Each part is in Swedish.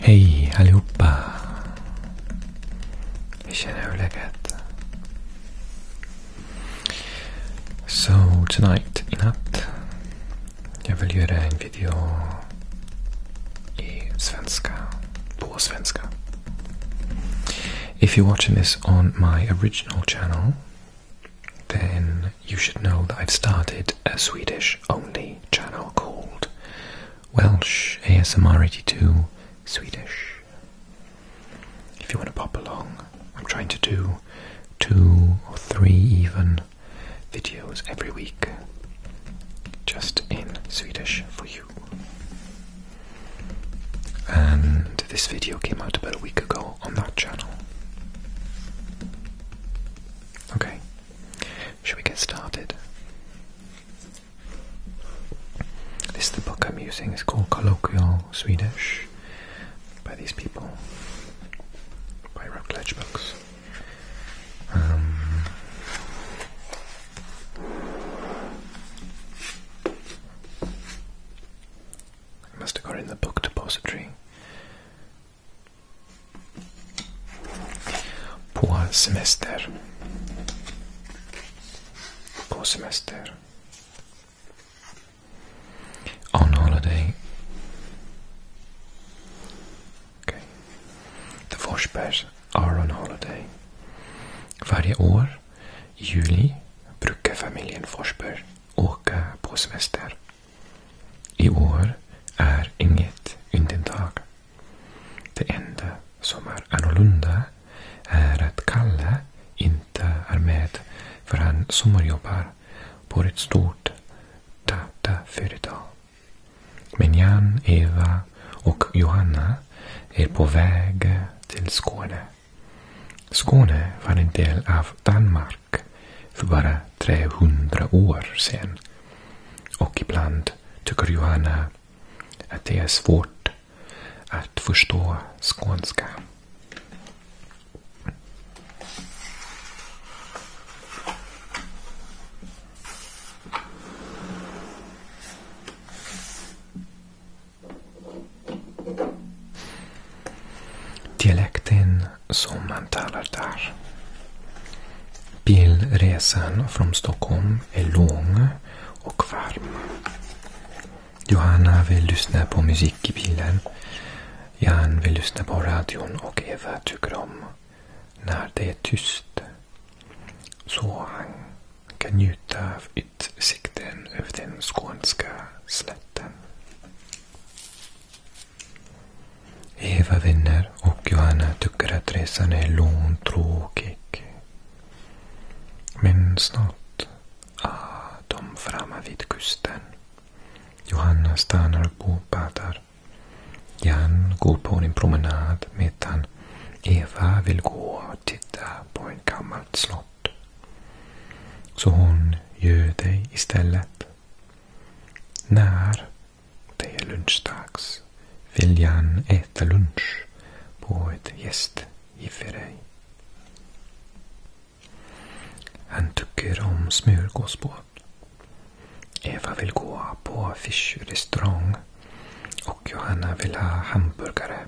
Hey, hallo, Hur känner du läget? So tonight, i natt, jag vill göra en video i svenska, på svenska. If you're watching this on my original channel then you should know that I've started a Swedish only channel called Welsh ASMR 82 Swedish. If you want to pop along, I'm trying to do two or three even videos every week just in Swedish for you. And this video came out about a week ago on that channel. Okay, should we get started? This is the book I'm using. It's called Colloquial Swedish by these people, by Routledge Books. Um, I must have got it in the book depository. På semester. På semester. On holiday. Okay. The Forsbergs are on holiday. Varje år, i juli, brukar familjen Forsberg åka på semester. I år är inget undantag. Det enda som är annorlunda är att Kalle inte är med för han sommarjobbar på ett stort dataföretag. Men Jan, Eva och Johanna är på väg till Skåne. Skåne var en del av Danmark för bara 300 år sedan och ibland tycker Johanna att det är svårt att förstå skånska. Dialekten som man talar där. Bilresan från Stockholm är lång och varm. Johanna vill lyssna på musik i bilen. Jan vill lyssna på radion och Eva tycker om när det är tyst. Så han kan njuta av utsikten över den skånska slätten. Eva vänner och Johanna tycker att resan är långtråkig. Men snart är ah, de framme vid kusten. Johanna stannar och badar. Jan går på en promenad medan Eva vill gå och titta på ett gammalt slott. Så hon gör det istället. När det är lunchdags. Vill gärna äta lunch på ett gästgifteri. Han tycker om smörgåsbåt. Eva vill gå på fiskrestaurang och Johanna vill ha hamburgare.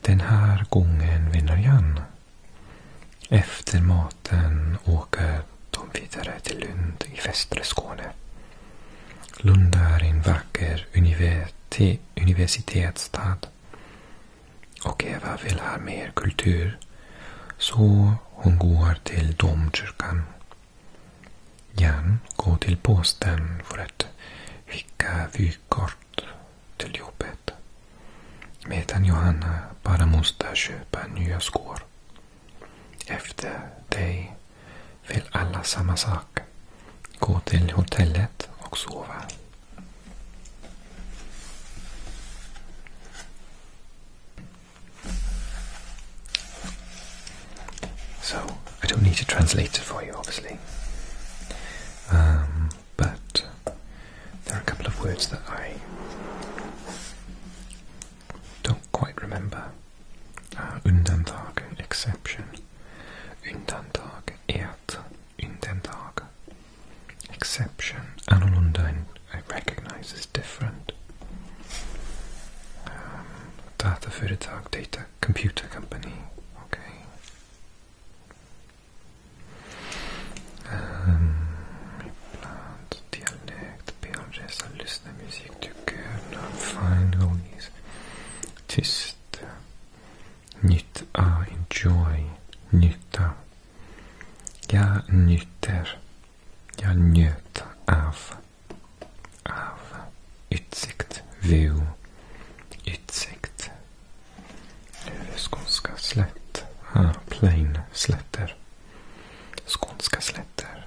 Den här gången vinner Jan. Efter maten åker de vidare till Lund i västra Skåne. Lund är en vacker universitetsstad. Och Eva vill ha mer kultur. Så hon går till domkyrkan. Jan går till posten för att skicka vykort till jobbet. Medan Johanna bara måste köpa nya skor. Efter dig vill alla samma sak. Gå till hotellet och So, I don't need to translate it for you, obviously. Um, but there are a couple of words that I don't quite remember. Uh, exception. Unden Tag, Erd. Unden Tag, exception. Annorlunda, I recognize is different. Um, data for the tag data computer company. Okay. Um, dialect, direkt. Be om resa, lyssna musik du könar. Find ways. Tyst. Nytta. Enjoy. Nytta. Jag njuter. Jag njöt av. Av. Utsikt. View. Utsikt. Skånska slätt. Ah, plain. Slätter. Skånska slätter.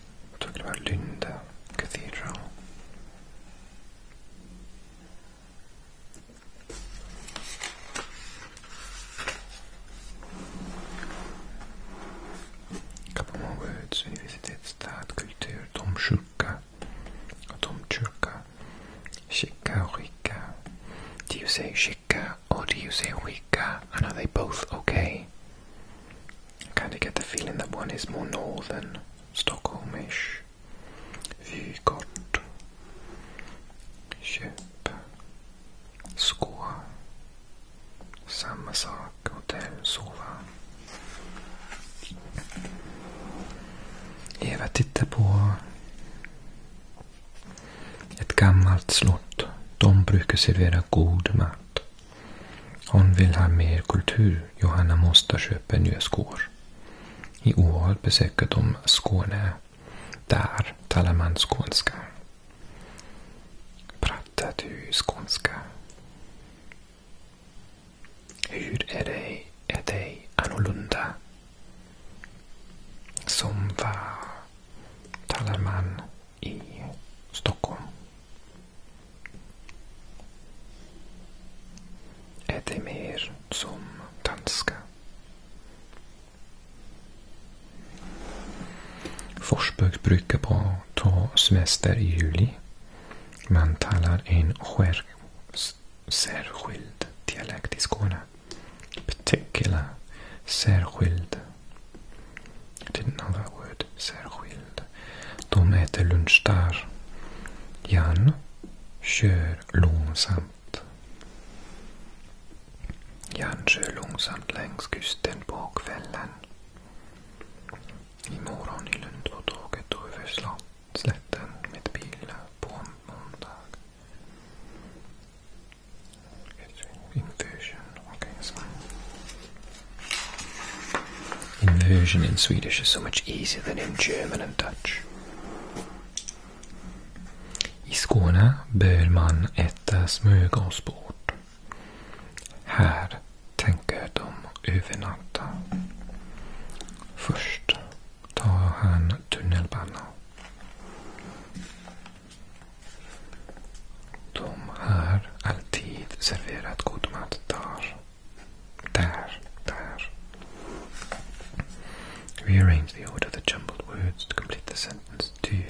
we're talking about Lunda Cathedral. A couple more words. We visited Stadkultur, Domkyrka, Domkyrka, oh, Shika Rika. Do you say Shika or do you say Rika? Rica, and are they both okay? I kind of get the feeling that one is more northern, Stockholmish. Vykort. Köp. Skå. Samma sak. Hotell. Sova. Eva tittar på ett gammalt slott. De brukar servera god mat sånt. Hon vill ha mer kultur. Johanna måste köpa nya skor. I år besöker de Skåne. Där talar man skånska. Pratar du skånska? Hur är det, är det annorlunda? Som vad talar man i Stockholm. Är det mer som danska? Forsbök brukar på ta semester i juli. Man talar en skär, särskild dialekt i Skåne. Beteckna särskild i didn't know that word. Särskild. De äter lunch där. Jan kör långsamt. Jan kör långsamt längs kusten på kvällen. Imorgon i Lund var tåget över slätten med bil på måndag. Inversion. Okay, that's Inversion in Swedish is so much easier than in German and Dutch. I Skåne bör man äta smörgåsbord. Här tänker de övernatta. Först tar han tunnelbana. De har alltid serverat god mat där. Där, där. Rearrange the order the jumbled words to complete the sentence. Du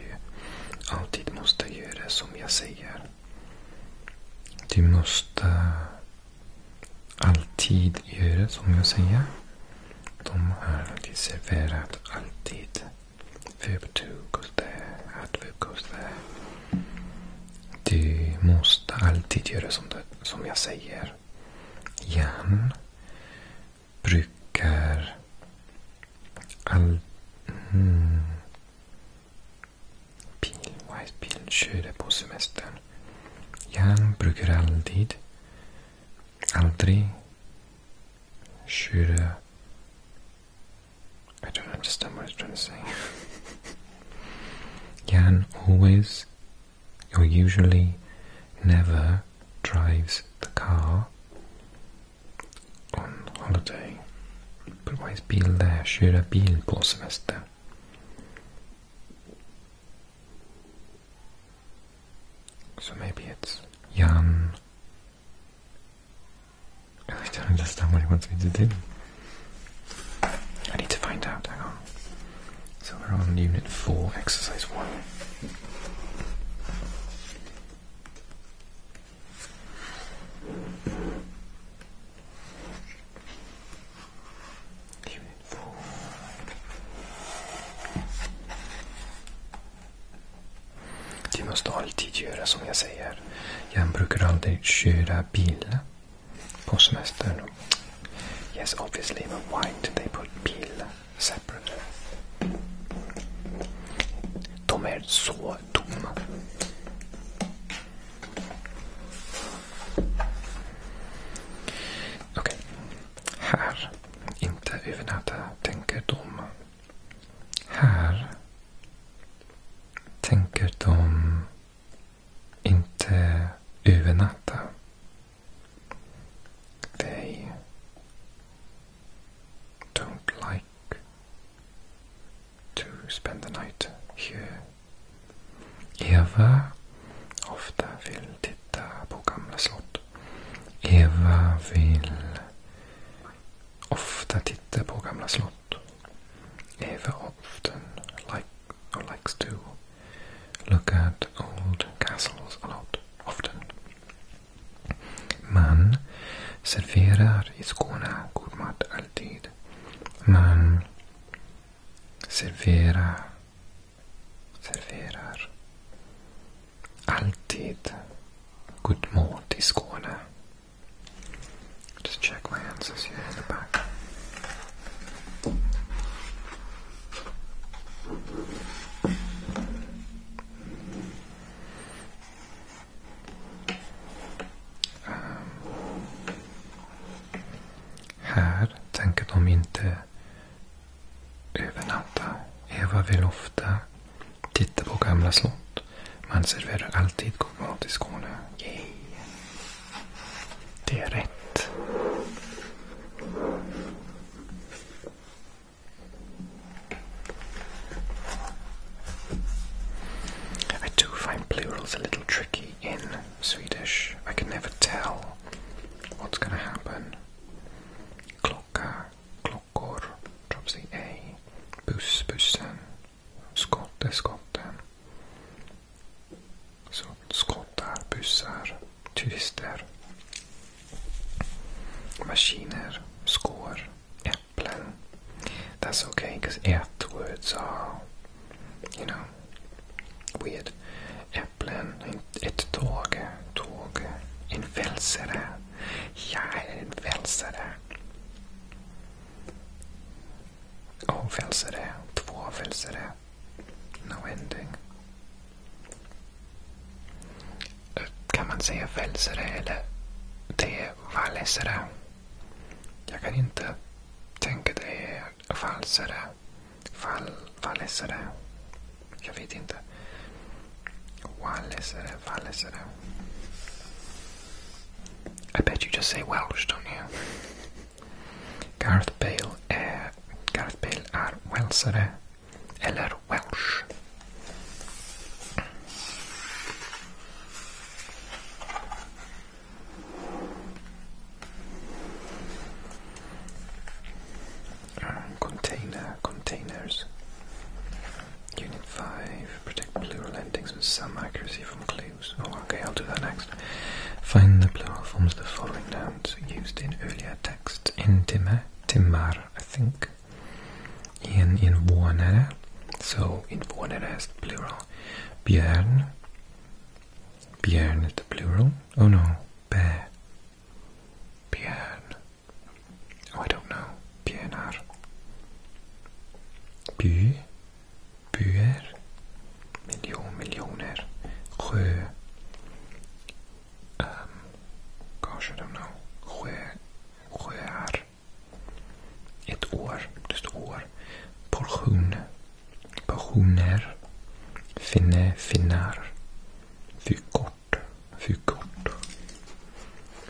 alltid måste göra som jag säger. Du måste alltid göra som jag säger. De har alltid serverat alltid. Verb 2 goes there. Adverb goes there. Du måste alltid göra som, det, som jag säger. Jan brukar all... Mm. Bil, Whitebilen körde på semestern. Jan brukar alltid, aldrig köra I don't understand what I'm trying to say. Jan always, or usually, never drives the car on holiday. But why is Bill there? Shouldn't be in på semester. So maybe it's Jan I don't understand what he wants me to do. I need to find out, So we're on unit 4, exercise 1. Unit 4. Du måste alltid göra som jag säger. Jag brukar aldrig köra bil på semestern. Yes, obviously, but why do they put bil separate? De är så dumma. Okej. Okay. Här. Inte övernatta, tänker de. Här tänker de inte övernatta. They don't like to spend the night here. Eva ofta vill titta på gamla slott. Eva vill ofta tittar på gamla slott. Eva often like, or likes to look at old castles a lot. Often. Man serverar i Skåne god mat alltid. Man serverar, serverar alltid god mat i Skåne. Just check my answers here in the back. Um, här tänker de inte övernatta. Eva vill ofta i I do find plurals a little tricky in Swedish. I can never tell what's going to happen. Klocka, klockor, drops the A. Buss, bussen, Skott skotten. Så skottar, bussar, turister. Maskiner, skor, äpplen. That's okay because ät words are, you know, weird. Äpplen, ett tåg, tåg. En välsare. Jag är en välsare. Avfälsare, två avfälsare. No ending. Kan man säga fälsare eller det är vallesare? Jag kan inte tänka det är falsare. Fall, vallesare. Jag vet inte. Wallesare, vallesare. I bet you just say Welsh, don't you? Gareth Bale eh, Gareth Bale är welsare, eller Welsh. Container, containers. Unit 5. Protect plural endings with some accuracy from clues. Oh, okay, I'll do that next. Find the plural forms of the following nouns used in earlier texts. intima, timar, I think. In in invånare, so in is the plural. Björn, björn is the plural. Oh no, bear, björn. Oh, I don't know. björnar. By, byar, miljon, miljoner, sjö. Um, gosh, I don't know. Sjö, sjöar. Ett år, det står år. Portion, portioner, finne, finnar. Fykort, fykort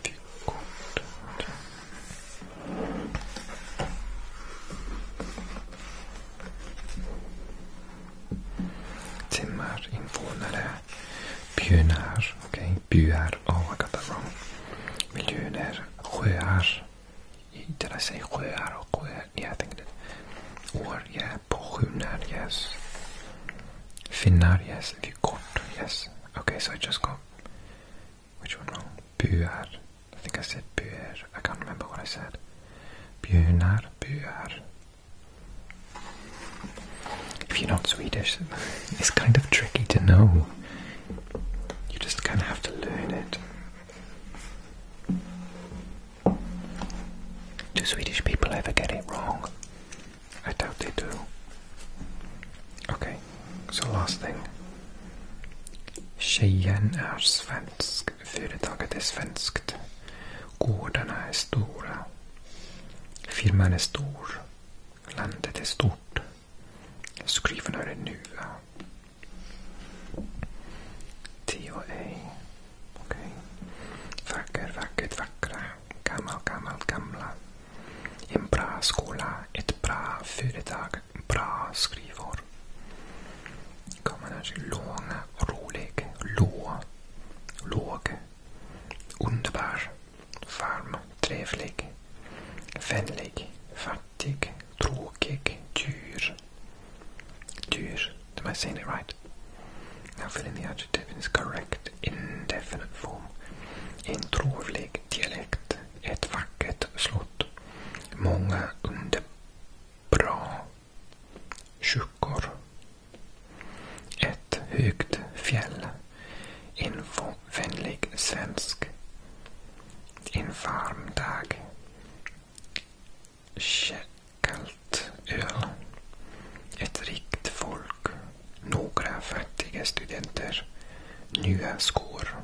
vykort Timmar, invånare, bynar, okej, byar, avakataro. Oh, sjöar. Did I say sjöar och sjöar? Yeah, I think it did. År, yeah. yes. Finnar, yes. Vykort, yes. Okay, so I just got which one wrong? Bjar, I think I said Bjar. I can't remember what I said. Bjar, buar. If you're not Swedish, it's kind of tricky to know. You just kind of have to learn it. Do Swedish people ever get it wrong? I doubt they do. Okej, så last thing. Tjejen är svensk. Företaget är svenskt. Gårdarna är stora. Firman är stor. Landet är stort. Skriven är nya. TOA. Okej. Okay. Vacker, vackert, vackra. Gammal, gammal, gamla. En bra skola, ett bra företag, bra skrivor. Kammaren alltså lång, rolig, lå, låg, underbar, varm, trevlig, vänlig, fattig, tråkig, dyr. Dyr. Am I saying it right? Now fill in the adjective in its correct indefinite form. En trovlig dialekt. Ett vackert slott. Många underbra kyrkor. Ett högt fjäll. En vänlig svensk. En varm dag. Kallt öl. Ett rikt folk. Några fattiga studenter. Nya skor.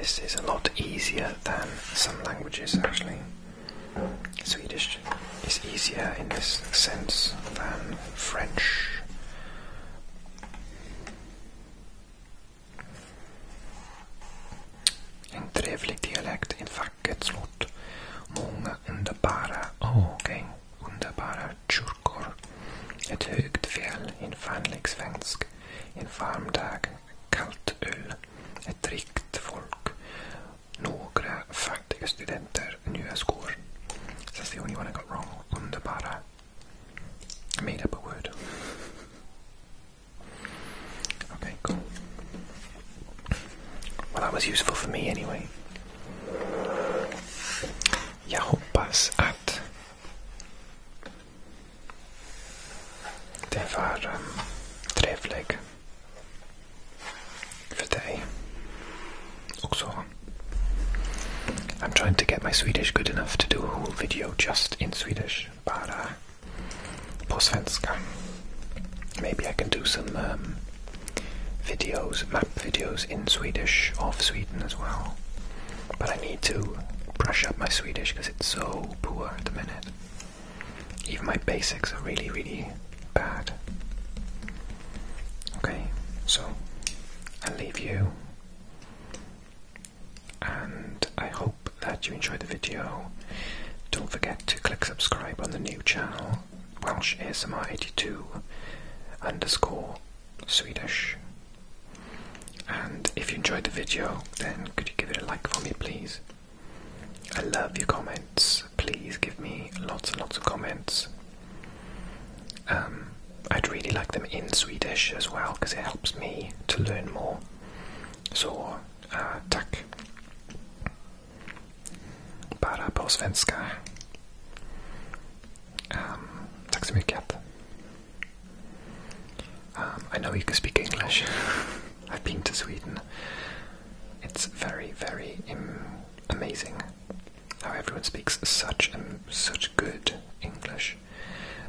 This is a lot easier than some languages actually. Swedish is easier in this sense than French. En trevlig dialekt, in fact. vackert slott. Många underbara, oh, underbara kyrkor. Ett högt fjäll, en vänlig svensk. En varm dag, kallt öl. Ett rikt folk. Några fattiga studenter, nya skor. That's the only one I wrong. Underbara. I made up a word. Okay, cool. Well, that was useful for me anyway. Ya hoppas att det var um, för dig också. I'm trying to get my Swedish good enough to do a whole video just in Swedish, but uh, på Maybe I can do some um, videos, map videos in Swedish of Sweden as well. But I need to brush up my Swedish because it's so poor at the minute. Even my basics are really, really bad. Okay, so I'll leave you. And I hope that you enjoyed the video. Don't forget to click subscribe on the new channel, Welsh ASMR82 underscore Swedish. And if you enjoyed the video, then could you give it a like for me, please? I love your comments. Please give me lots and lots of comments. Um, I'd really like them in Swedish as well because it helps me to learn more. So, uh, tack bara på svenska. Um, tack så mycket. Um, I know you can speak English. I've been to Sweden. It's very, very amazing how everyone speaks such such good English.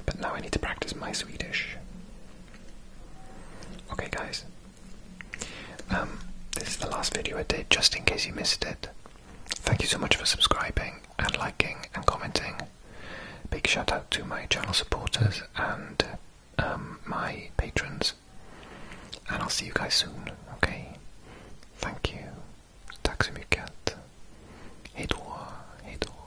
But now I need to practice my Swedish. Okay, guys. Um, this is the last video I did, just in case you missed it. Thank you so much for subscribing and liking and commenting. Big shout out to my channel supporters and um, my patrons. And I'll see you guys soon, okay? Thank you. Tack så mycket. Hejdå,